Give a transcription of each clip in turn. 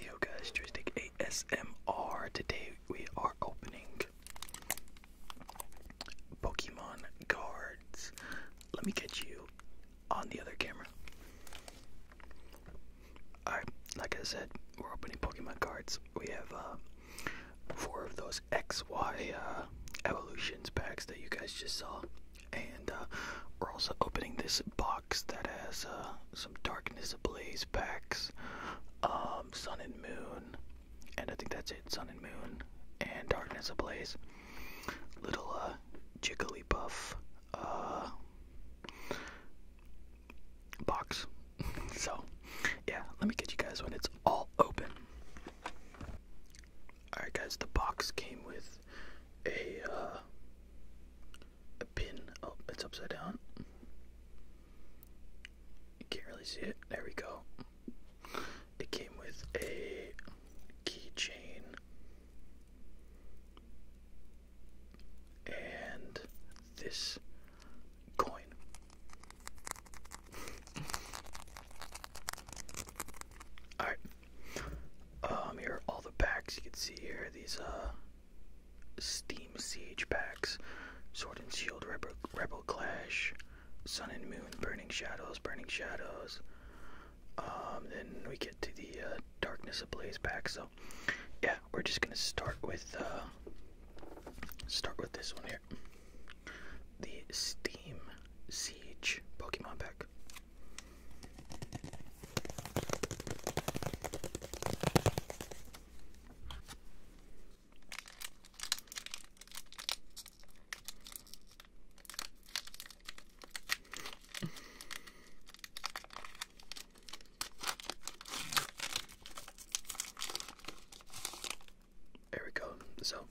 Yo guys, Joystick ASMR. Today we are opening Pokemon cards. Let me get you on the other camera. Alright, like I said, we're opening Pokemon cards. We have uh, four of those XY uh, evolutions packs that you guys just saw. And uh, we're also opening this box that has uh, some Darkness Ablaze packs, um, Sun and Moon, and I think that's it. Sun and Moon and Darkness Ablaze. Little uh, Jigglypuff uh, box. so, yeah, let me get you guys when it's all open. Alright, guys, the box came with a uh, a pin. Oh, it's upside down. You can't really see it. There we go. It came with a keychain and this coin. Alright. Um here are all the packs you can see here. These uh Steam Siege Packs, Sword and Shield Rebel, Rebel Clash, Sun and Moon Burning Shadows, Burning Shadows. Um, then we get to the uh, Darkness Ablaze pack. So, yeah, we're just gonna start with uh, start with this one here, the Steam Siege Pokemon pack. There we go. So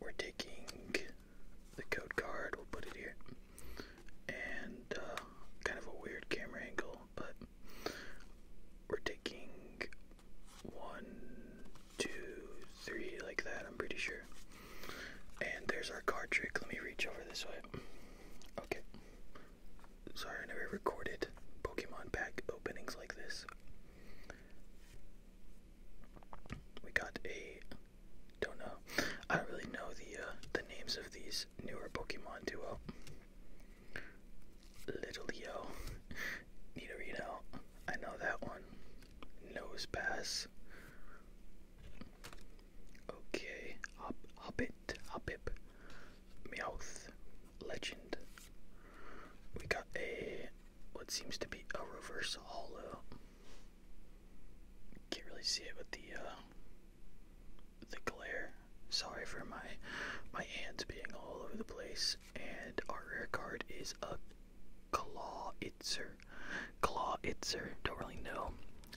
we're taking the code card, we'll put it here and uh, kind of a weird camera angle, but we're taking one, two, three, like that, I'm pretty sure. And there's our card trick. Let me reach over this way. Okay. Sorry, I never recorded Pokemon pack openings like this. We got a. Don't know. I don't really know the uh, the names of these newer Pokemon duo. Little Yo, Nidorino, I know that one. Nose pass. Okay, Hop Hobbit, Hoppip, Meowth, Legend. We got a what seems to be a reverse hollow. Can't really see it with the uh, the glare. Sorry for my my hands being all over the place. And our rare card is a claw itzer. Claw itzer. Don't really know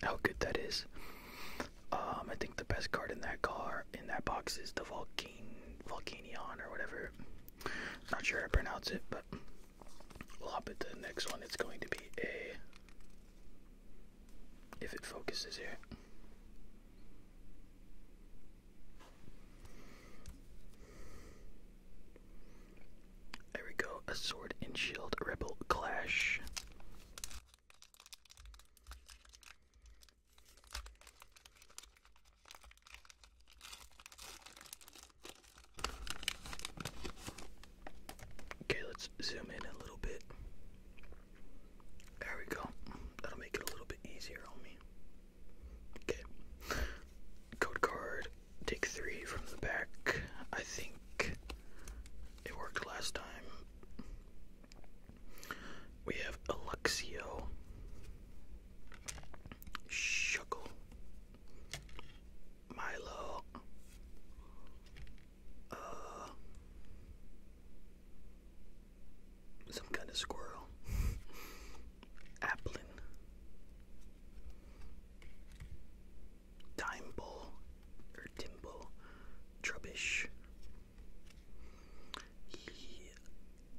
how good that is. Um, I think the best card in that car in that box is the Vulcan Vulcanion or whatever. Not sure how to pronounce it, but we'll hop into the next one. It's going to be a if it focuses here. There we go, a sword and shield rebel clash. Okay, let's zoom in a little bit. There we go. That'll make it a little bit easier on me. Okay. Code card. Take three from the back. I think it worked last time. We have Alexio. Shuckle. Milo uh, some kind of squirrel, applin, timeball or timble, trubbish,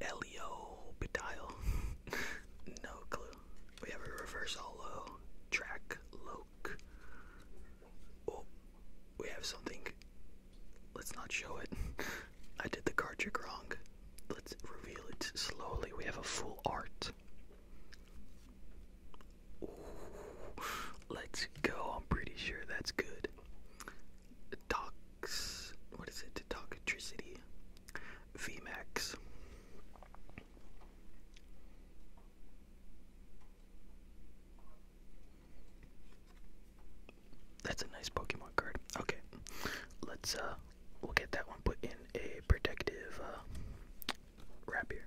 Elio Bedile. no clue. We have a reverse hollow track low look. Oh, we have something. Let's not show it. I did the card trick wrong. Let's reveal it slowly. We have a full art. let's go. I'm pretty sure that's good. Tox. What is it? Toxicity. VMAX. That's a nice Pokemon card. Okay. Let's uh we'll get that one put in a protective uh wrap here.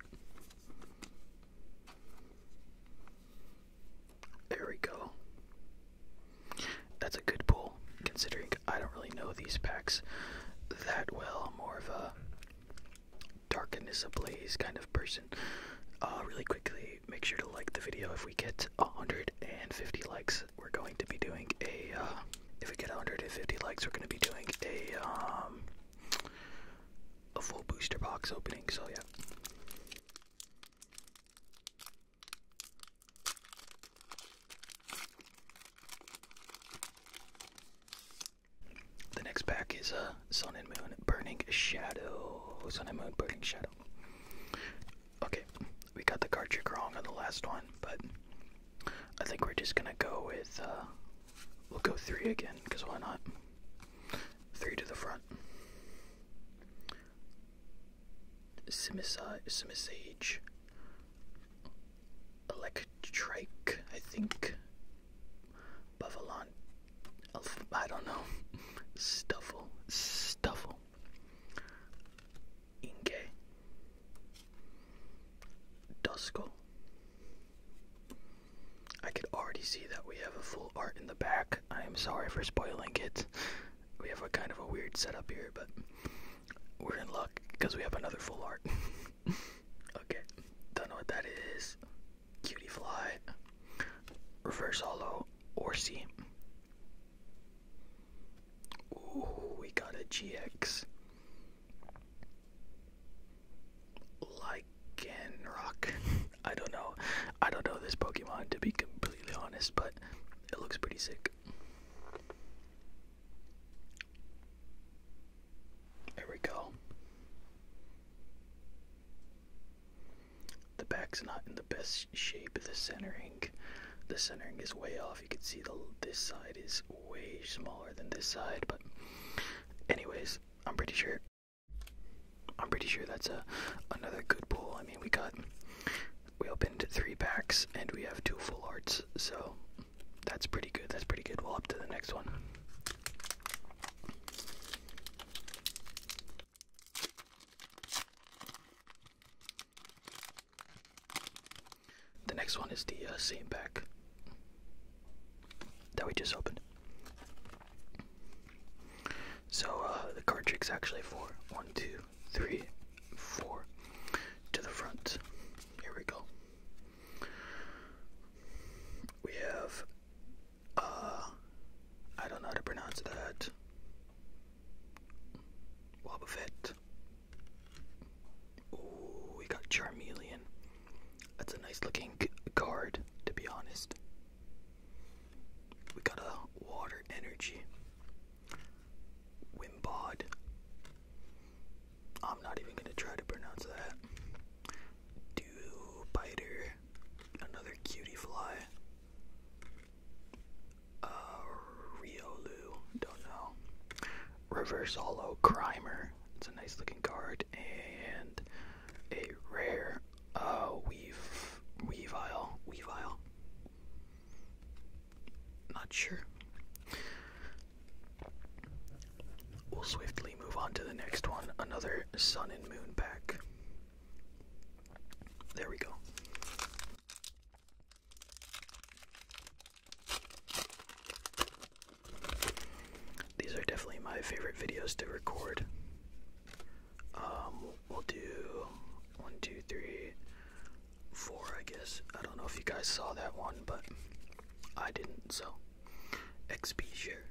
There we go. That's a good pull, considering I don't really know these packs that well. More of a Darkness ablaze, kind of person. Uh, really quickly, make sure to like the video. If we get 150 likes, we're going to be doing a. Uh, if we get 150 likes, we're going to be doing a um, a full booster box opening. So yeah. The next pack is a uh, Sun and Moon Burning Shadow. Sun and Moon Burning Shadow. Okay, we got the card trick wrong on the last one, but I think we're just gonna go with. Uh, we'll go three again, because why not? Three to the front. Simisage. Electrike, I think. Buffalon. I don't know. Stuffle. Stuffle. Inke. Dusko. I could already see that we have a full art in the back. I am sorry for spoiling it. We have a kind of a weird setup here, but we're in luck because we have another full art. okay, don't know what that is. Cutie Fly, Reverse Hollow, Orsi. Ooh, we got a GX. Lycanroc. I don't know. I don't know this Pokemon to be completely honest, but it looks pretty sick. There we go. The back's not in the best shape. The centering, the centering is way off. You can see the this side is way smaller than this side. But, anyways, I'm pretty sure. I'm pretty sure that's a another good pull. I mean, we got we opened three packs and we have two full arts, so that's pretty good. That's pretty good. Well, up to the next one. The next one is the uh, same pack that we just opened. So uh, the card trick's actually four one two three four to the front. Here we go. We have uh, I don't know how to pronounce that. Boba Fett. we got Charmeleon. That's a nice looking card, to be honest. We got a Water Energy. Wimbod. I'm not even gonna try to pronounce that. Dubiter another cutie fly. Uh, Riolu, don't know. Reverse Hollow Crimer, it's a nice looking card, and a rare uh, Weave, Weavile, Weavile. Not sure. We'll swiftly move on to the next one. Another Sun and Moon pack. There we go. These are definitely my favorite videos to record. Um, we'll do one, two, three, four, I guess. I don't know if you guys saw that one, but I didn't, so. XP share.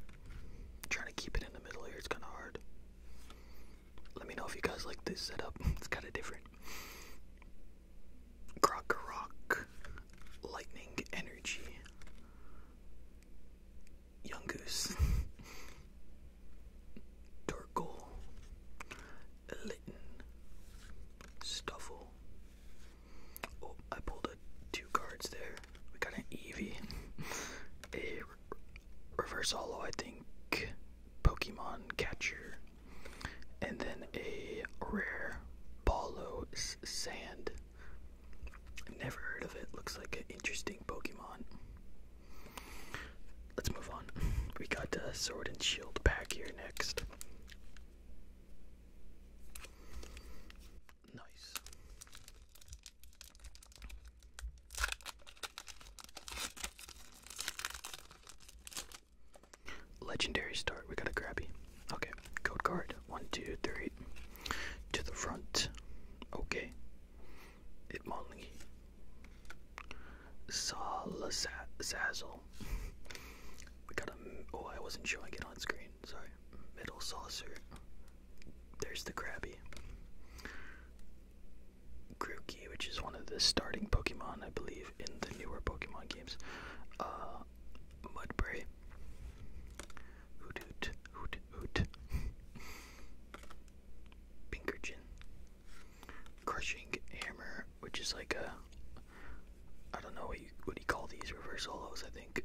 trying to keep it in the middle here, it's kind of hard. Let me know if you guys like this setup, it's kind of different. Croc Lightning Energy, Young Goose, Torkoal, Litten, Stuffle. Oh, I pulled two cards there. We got an Eevee. A reverse hollow, I think, Pokemon Catcher. And then a rare Balo Sand. Never heard of it. Looks like an interesting Pokemon. Let's move on. We got the Sword and Shield pack here next. Nice. Legendary start. We got a grabby. Okay. Code card. One, two, three. To the front. Okay. It Monley. Zazzle. We got a. Oh, I wasn't showing it on screen. Sorry. Middle saucer. There's the Krabby. Grookey, which is one of the starting Pokemon, I believe, in the newer Pokemon games. Uh, Mudbray. Hoot hoot, hoot hoot. Crushing Hammer, which is like a. I don't know what you, what do you call these, reverse hollows, I think.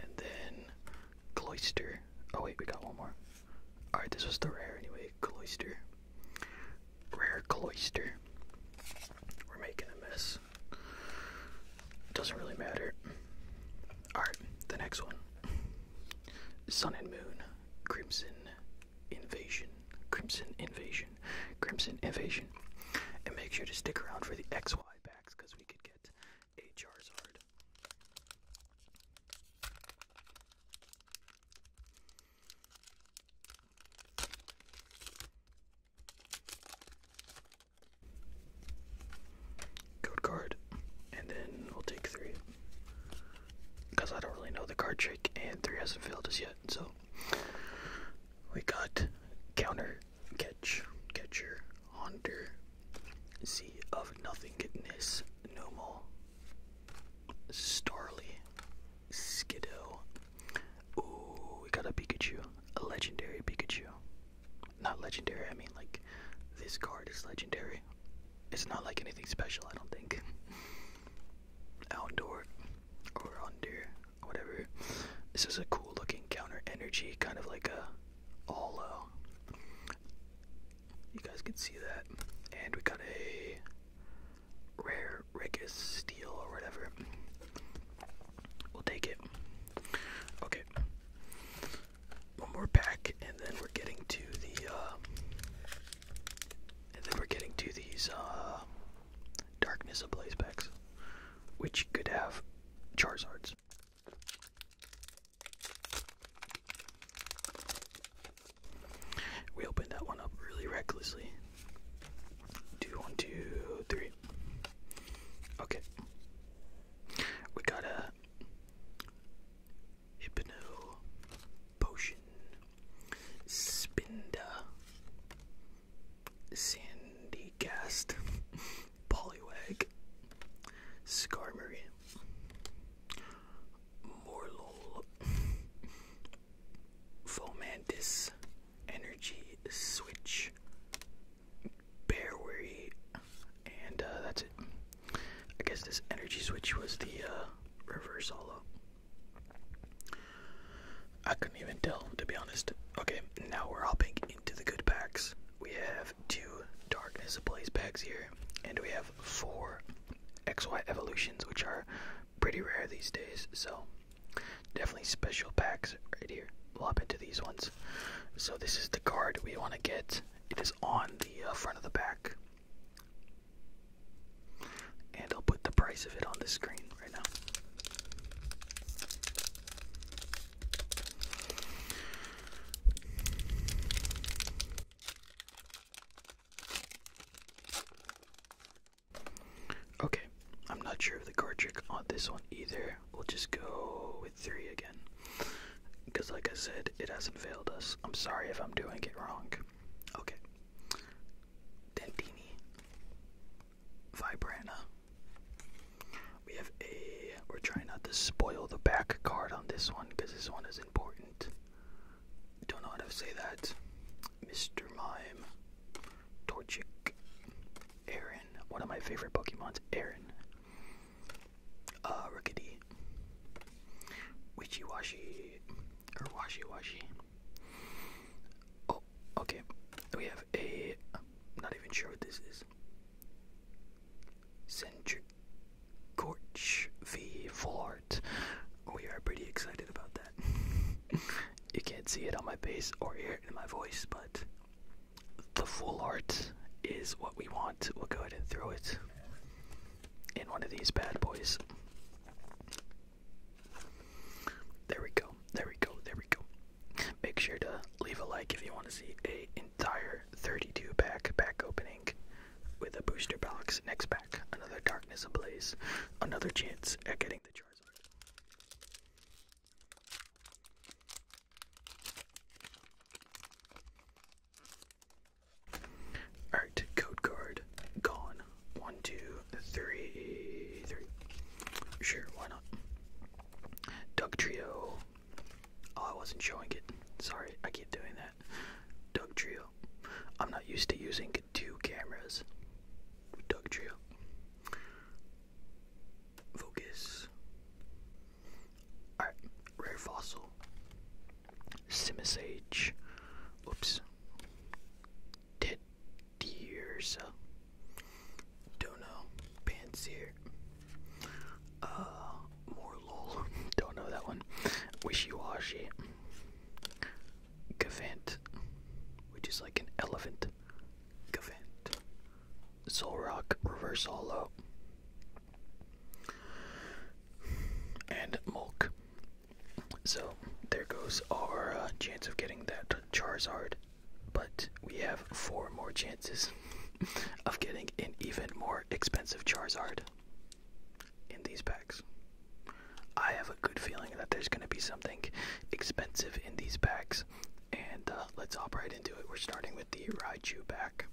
And then Cloister. Oh wait, we got one more. Alright, this was the rare anyway. Cloister. Rare cloister. We're making a mess. Doesn't really matter. Alright, the next one. Sun and Moon. Crimson Invasion. Crimson Invasion. Crimson Invasion. And make sure to stick around for the XY packs because we could get a Code card, and then we'll take three. Because I don't really know the card trick, and three hasn't failed us yet, so. We got counter, catcher, haunter, sea of nothingness, nomal, starly, skiddo. Ooh, we got a Pikachu, a legendary Pikachu. Not legendary, I mean like this card is legendary. It's not like anything special, I don't think. Outdoor or under, whatever. This is a cool looking counter energy, kind of like a all You guys can see that. And we got a rare Rigus steel or whatever. We'll take it. Okay. One more pack and then we're getting to the uh, and then we're getting to these uh, Darkness of Blaze packs. Which could have Charizards. We opened that one up really recklessly. Two, one, two, three. Okay. We got a Hypno Potion Spinda Sandy Cast Poliwag, Skarmory, Morlul, Fomantis, Energy Switch, Bearwery, and uh, that's it. I guess this Energy Switch was the uh, reverse holo. I couldn't even tell, to be honest. Okay, now we're hopping into the good packs. We have two Darkness Ablaze packs here, and we have four XY Evolutions, which are pretty rare these days, so definitely special packs right here. Lop into these ones. So, this is the card we want to get. It is on the uh, front of the back, And I'll put the price of it on the screen right now. Okay, I'm not sure of the card trick on this one either. We'll just go with three again. Because, like I said, it hasn't failed us. I'm sorry if I'm doing it wrong. Okay. Dentini. Vibrana. We have a. We're trying not to spoil the back card on this one because this one is important. Don't know how to say that. Mr. Mime, Torchic, Aaron. One of my favorite Pokemon's, Aaron. Uh, Rickety, Witchy Washy, or Washy Washy. Oh, okay. We have a. I'm not even sure what this is. Centric. Gorch v Vort. We are pretty excited about that. you can't see it on my face or hear it in my voice, but the full art is what we want. We'll go ahead and throw it in one of these bad boys. There we go. There we go. There we go. Make sure to leave a like if you want to see a entire 32 pack back opening with a booster box next pack another darkness ablaze another chance at getting the charizard all right code card gone one two three three sure why not duck trio Oh, I wasn't showing it. Sorry, I keep doing that. Doug Trio. I'm not used to using two cameras. Doug Trio. Focus. Alright, Rare Fossil. Simisage. Oops. Ted Deersa. Don't know. Pansier. Uh, more Don't know that one. Wishy washy. which is like an elephant. Gavant. Solrock, reverse holo. And Mulk. So, there goes our uh, chance of getting that Charizard. But we have four more chances of getting an even more expensive Charizard in these packs. I have a good feeling that there's going to be something expensive in these packs, and uh, let's hop right into it. We're starting with the Raichu pack.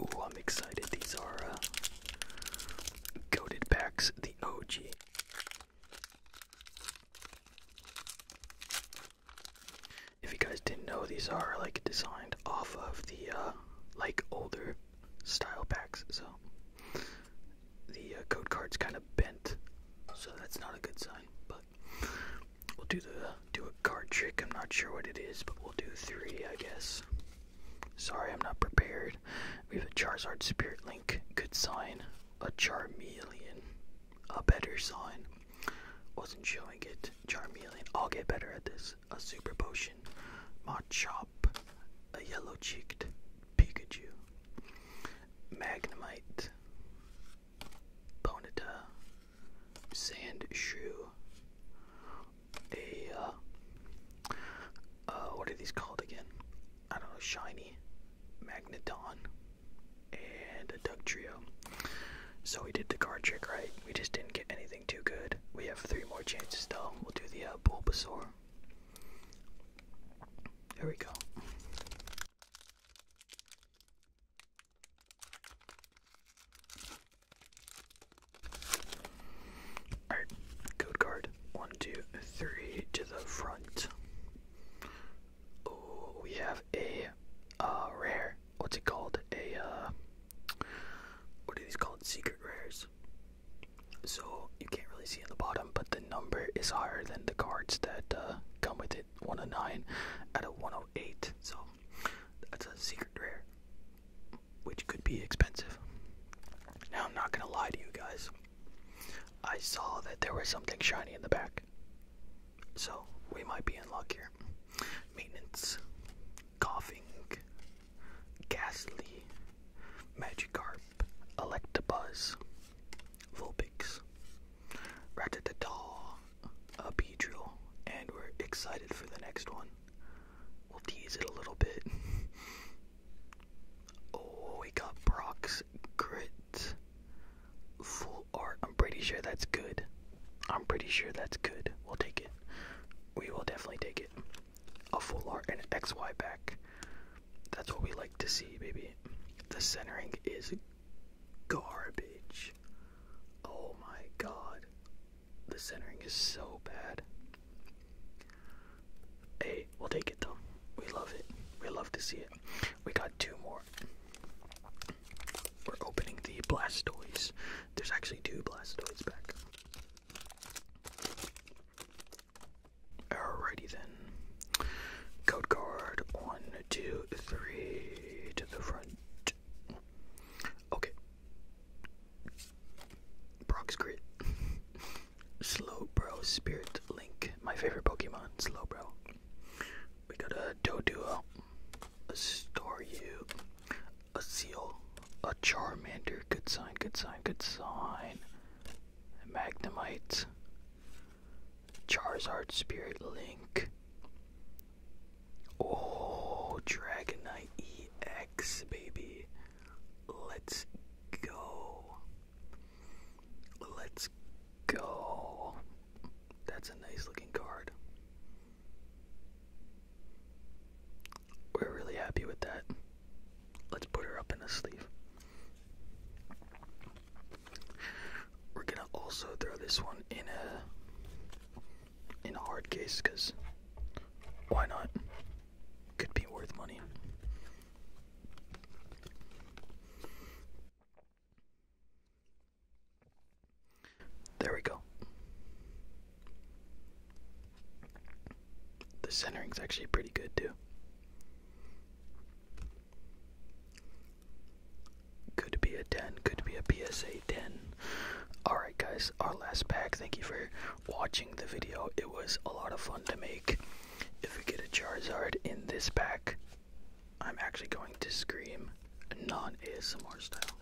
Ooh, I'm excited. These are uh, goaded packs, the OG. If you guys didn't know, these are like designed off of the uh, like older style packs. So the uh, code card's kind of bent, so that's not a good sign. But we'll do the do a card trick. I'm not sure what it is, but we'll do three, I guess. Sorry, I'm not prepared. We have a Charizard Spirit Link, good sign. A Charmeleon, a better sign. Wasn't showing it. Charmeleon, I'll get better at this a super potion, Machop, a yellow cheeked Pikachu, Magnemite, Bonita, Sand a uh, uh, what are these called again? I don't know, Shiny, Magneton, and a Dug Trio. So we did the card trick right. We just didn't get anything too good. We have three more chances though. We'll do the uh, Bulbasaur. Here we go. Alright, code card. One, two, three to the front. Oh, we have a uh, rare. What's it called? A uh, what are these called? Secret rares. So you can't really see in the bottom, but the number is higher than the cards that uh, come with it. 109 out of 108. So that's a secret rare, which could be expensive. Now I'm not gonna lie to you guys. I saw that there was something shiny in the back. So we might be in luck here. Maintenance. Coughing, Ghastly, Magikarp, Electabuzz, Vulpix, Rattataw, a Beedrill, and we're excited for the next one. We'll tease it a little bit. oh, we got Brock's Grit. Full art. I'm pretty sure that's good. I'm pretty sure that's good. We'll take it. We will definitely take it. A full art and an XY back. That's what we like to see, baby. The centering is garbage. Oh my god. The centering is so bad. Hey, we'll take it though. We love it. We love to see it. We got two more. We're opening the Blastoise. There's actually two Blastoids back. Alrighty then. Code card one, two, three to the front. Okay. Brock's Grit. Slowbro Spirit Link. My favorite Pokemon, Slowbro. We got a duo. a You a Seal, a Charmander, good sign, good sign, good sign, Magnemite, Charizard, Spirit Link, oh, Dragonite EX, baby, let's go, let's go, that's a nice looking card. We're really happy with that. Let's put her up in a sleeve. We're gonna also throw this one in a in a hard case because why not? Could be worth money. There we go. The centering's actually pretty good too. Could be a 10, could be a PSA 10. Alright, guys, our last pack. Thank you for watching the video. It was a lot of fun to make. If we get a Charizard in this pack, I'm actually going to scream non ASMR style.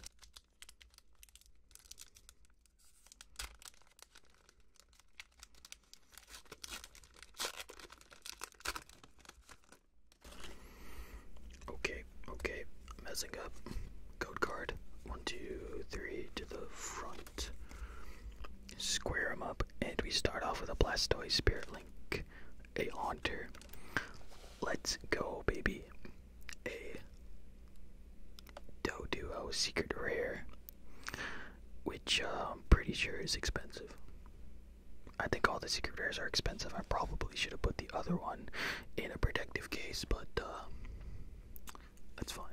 Okay, okay, messing up. Code card. One, two, three to the front. Square them up, and we start off with a Blastoise Spirit Link, a Hunter. Let's go, baby a Doduo Secret Rare, which uh, I'm pretty sure is expensive. I think all the secret rares are expensive. I probably should have put the other one in a protective case, but uh, that's fine.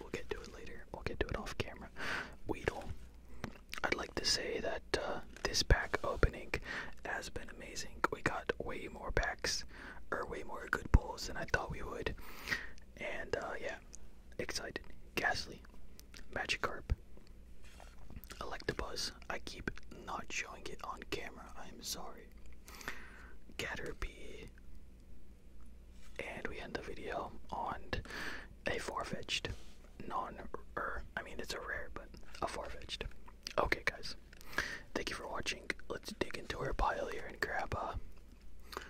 We'll get to it later. We'll get to it off camera. Weedle. I'd like to say that uh, this pack opening has been amazing. We got way more packs are way more good pulls than I thought we would. And uh, yeah, excited. Ghastly, Magikarp, Electabuzz. I keep not showing it on camera. I'm sorry. Caterpie. And we end the video on a far-fetched non-er. I mean, it's a rare, but a far-fetched. Okay, guys. Thank you for watching. Let's dig into our pile here and grab a uh,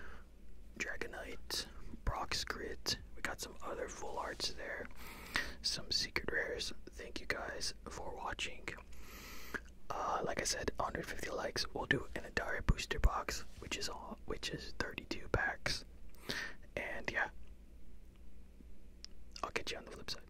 Dragonite, Brock's Grit. We got some other full arts there, some secret rares. Thank you guys for watching. Uh, like I said, 150 likes. We'll do an entire booster box, which is all, which is 32 packs. And yeah, I'll catch you on the flip side.